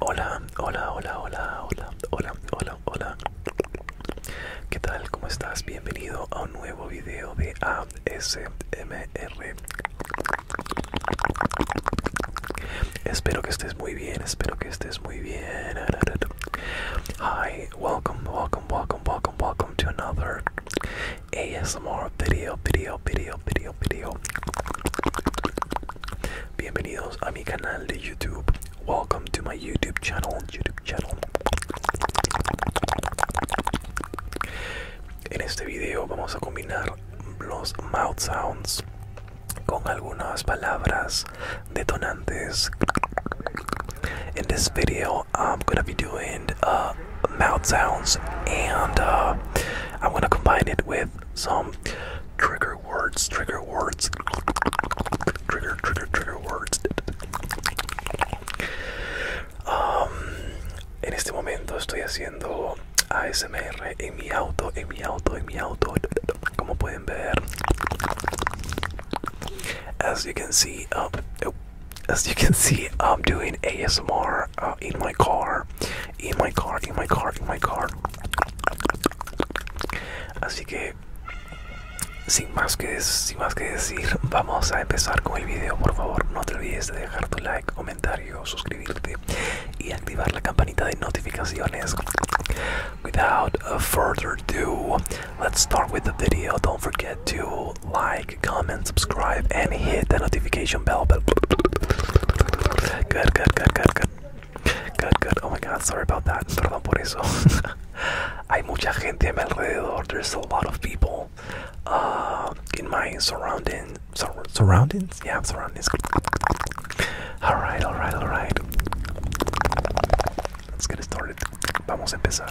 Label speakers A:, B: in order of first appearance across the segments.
A: Hola, hola, hola, hola, hola, hola, hola, hola. ¿Qué tal? ¿Cómo estás? Bienvenido a un nuevo video de ASMR. Espero que estés muy bien, espero que estés muy bien. Hi, welcome, welcome, welcome, welcome, welcome to another ASMR video, video, video, video, video. Bienvenidos a mi canal de YouTube. Welcome to my YouTube channel, YouTube channel. En este video vamos a combinar los mouth sounds con algunas palabras detonantes. En this este video, I'm gonna be doing uh, mouth sounds, and uh, I'm gonna combine it with some trigger words, trigger words, trigger, trigger, trigger words. Um, en este momento estoy haciendo ASMR en mi auto, en mi auto, en mi auto, como pueden ver. As you can see, oh, oh, as you can see, I'm doing ASMR uh, in my car, in my car, in my car, in my car. Así que, sin más que, sin más que decir, vamos a empezar con el video. Por favor, no te olvides de dejar tu like, comentario, suscribirte y activar la campanita de notificaciones. Without further ado, let's start with the video. Don't forget to like, comment, subscribe, and hit the notification bell. good, good, good, good, good, good, good. Oh my God, sorry about that. Perdón por eso. There's a lot of people uh, in my surroundings. Yeah, surroundings. All right, all right, all right. Let's get started. Vamos a empezar.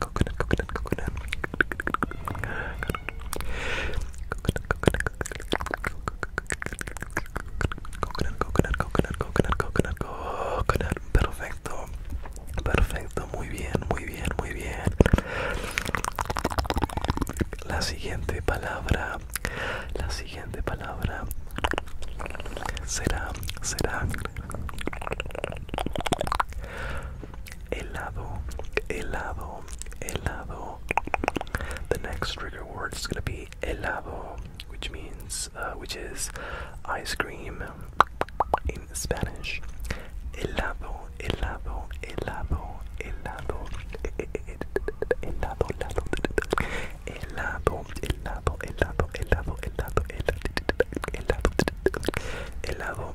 A: coconut, coconut, coconut, coconut. Coconut, coconut, coconut, coconut, coconut, coconut. Perfecto. Perfecto, muy bien, muy bien, muy bien. La siguiente palabra, la siguiente palabra será, será helado, helado, helado. The next trigger word is gonna be helado, which means, uh, which is ice cream in Spanish. Helado, helado, helado, helado, helado, helado, helado, helado, helado, helado, helado, helado, helado, helado,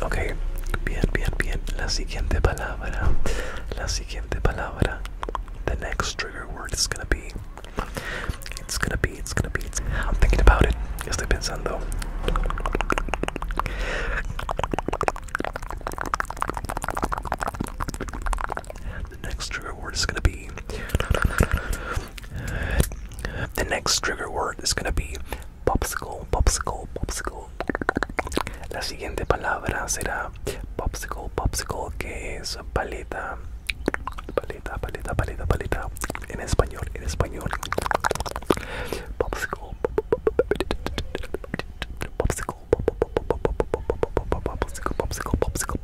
A: Ok, bien, bien, bien. La siguiente palabra. La siguiente palabra. The next trigger word is gonna be. It's gonna be, it's gonna be. It's... I'm thinking about it. Estoy pensando the next trigger word is gonna be the next trigger word is gonna be popsicle, popsicle, popsicle. La siguiente palabra será popsicle, popsicle, que es paleta, paleta, paleta, paleta, paleta. En español, en español. Popsicle, popsicle, popsicle, popsicle, popsicle, popsicle,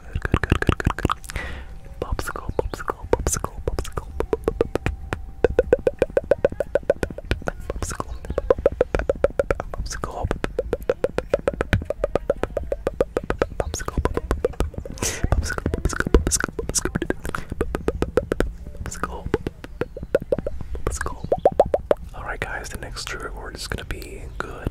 A: good, good, good, good, good, good. Popsicle, popsicle, popsicle, popsicle. Popsicle. Popsicle. Popsicle. Popsicle, popsicle, popsicle, popsicle. Popsicle. Alright guys, the next trigger word is gonna be good.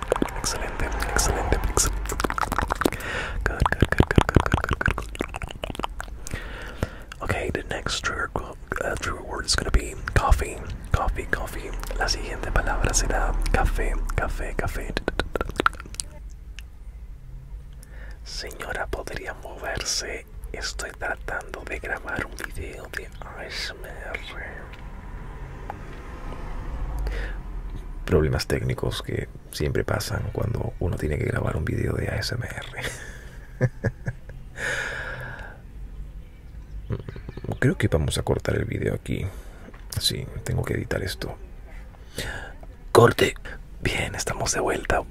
A: Excelente, excelente, excelente. Good, good, good, good, good, good, good, Okay, the next trigger, uh, trigger word is gonna be coffee, coffee, coffee. La siguiente palabra será café, café, café. Señora, podría
B: moverse. Estoy tratando de grabar un video de ASMR. Problemas técnicos que siempre pasan cuando uno tiene que grabar un video de ASMR. Creo que vamos a cortar el vídeo aquí. Sí, tengo que editar esto. Corte.
A: Bien, estamos de vuelta.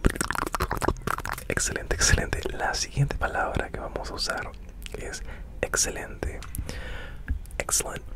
A: Excelente, excelente. La siguiente palabra que vamos a usar es excelente. excelente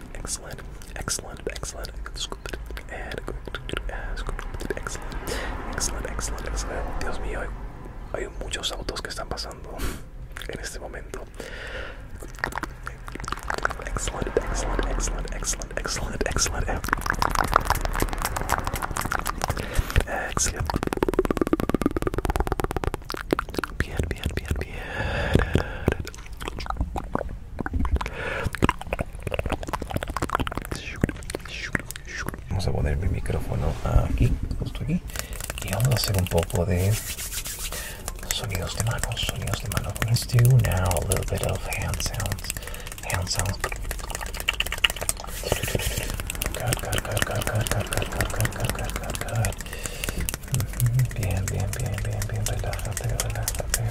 A: Excellent, excellent, excellent. And excellent, excellent, excellent, excellent. Dios mío, hay muchos autos que están pasando en este momento. Excellent, excellent, excellent, excellent, excellent, excellent. Excellent. Bien, bien, bien,
B: bien. Vamos a poner mi micrófono aquí, justo aquí. Y vamos a hacer un poco de sonidos de manos, sonidos de manos. now a little bit of hand sounds.
A: Hand sounds. Bien, bien, bien, bien, bien. Relájate, relájate.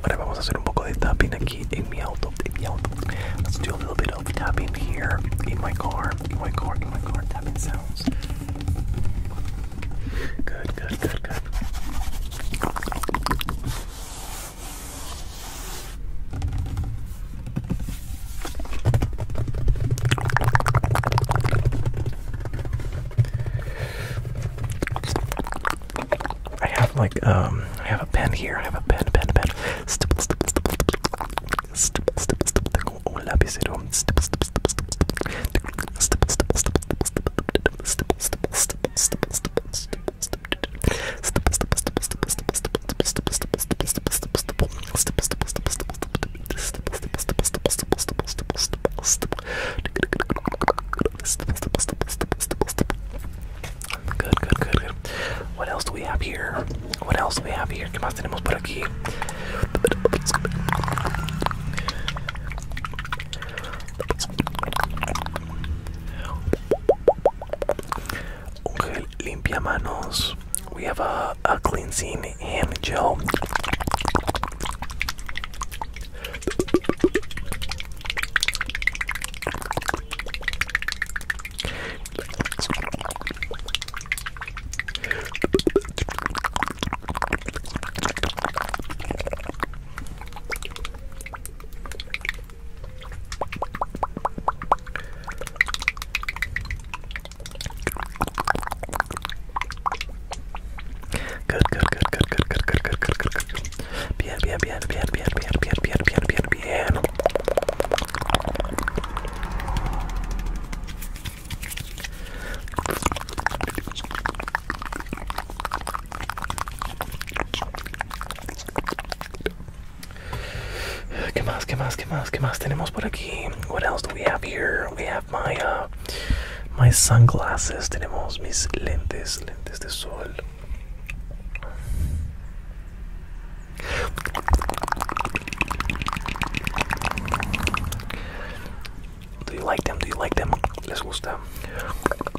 A: Ahora vamos a hacer un Let's do a little bit of tapping here in my car, my car, my car. Tapping sounds. Good, good, good, good. I have like um I have a pen here. I have a pen, pen, pen. Stip, stip, stip, stip, stip, stip, stip. Tengo un lapicero. Stip, stip, stip, stip, stip. Stip, stip, stip, stip, stip, stip, stip, stip, stip, stip, stip, stip, stip, Good, good, good, good. What else do we have here? What else do we have here? ¿Qué más tenemos por aquí? We have a, a cleansing hand gel. Good, good, good, good, good, good, good, good, good, good, good. Bien, bien, bien, bien, bien, bien, bien, bien, bien, bien, bien. ¿Qué más? ¿Qué más? ¿Qué más? ¿Qué más tenemos por aquí? What else do we have here? We have my uh, my sunglasses. Tenemos mis lentes, lentes de sol. Do you like them? Do you like them? Les gusta.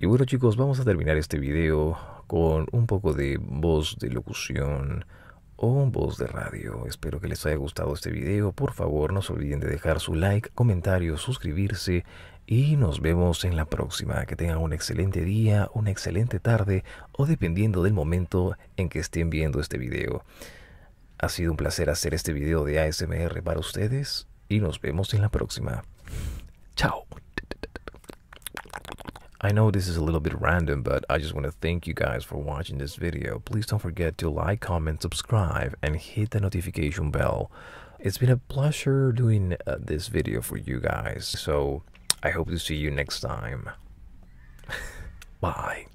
B: Y bueno chicos, vamos a terminar este video con un poco de voz de locución o voz de radio. Espero que les haya gustado este video. Por favor, no se olviden de dejar su like, comentario, suscribirse y nos vemos en la próxima. Que tengan un excelente día, una excelente tarde o dependiendo del momento en que estén viendo este video. Ha sido un placer hacer este video de ASMR para ustedes y nos vemos en la próxima. Ciao. I know this is a little bit random, but I just want to thank you guys for watching this video. Please don't forget to like, comment, subscribe, and hit the notification bell. It's been a pleasure doing uh, this video for you guys, so I hope to see you next time. Bye.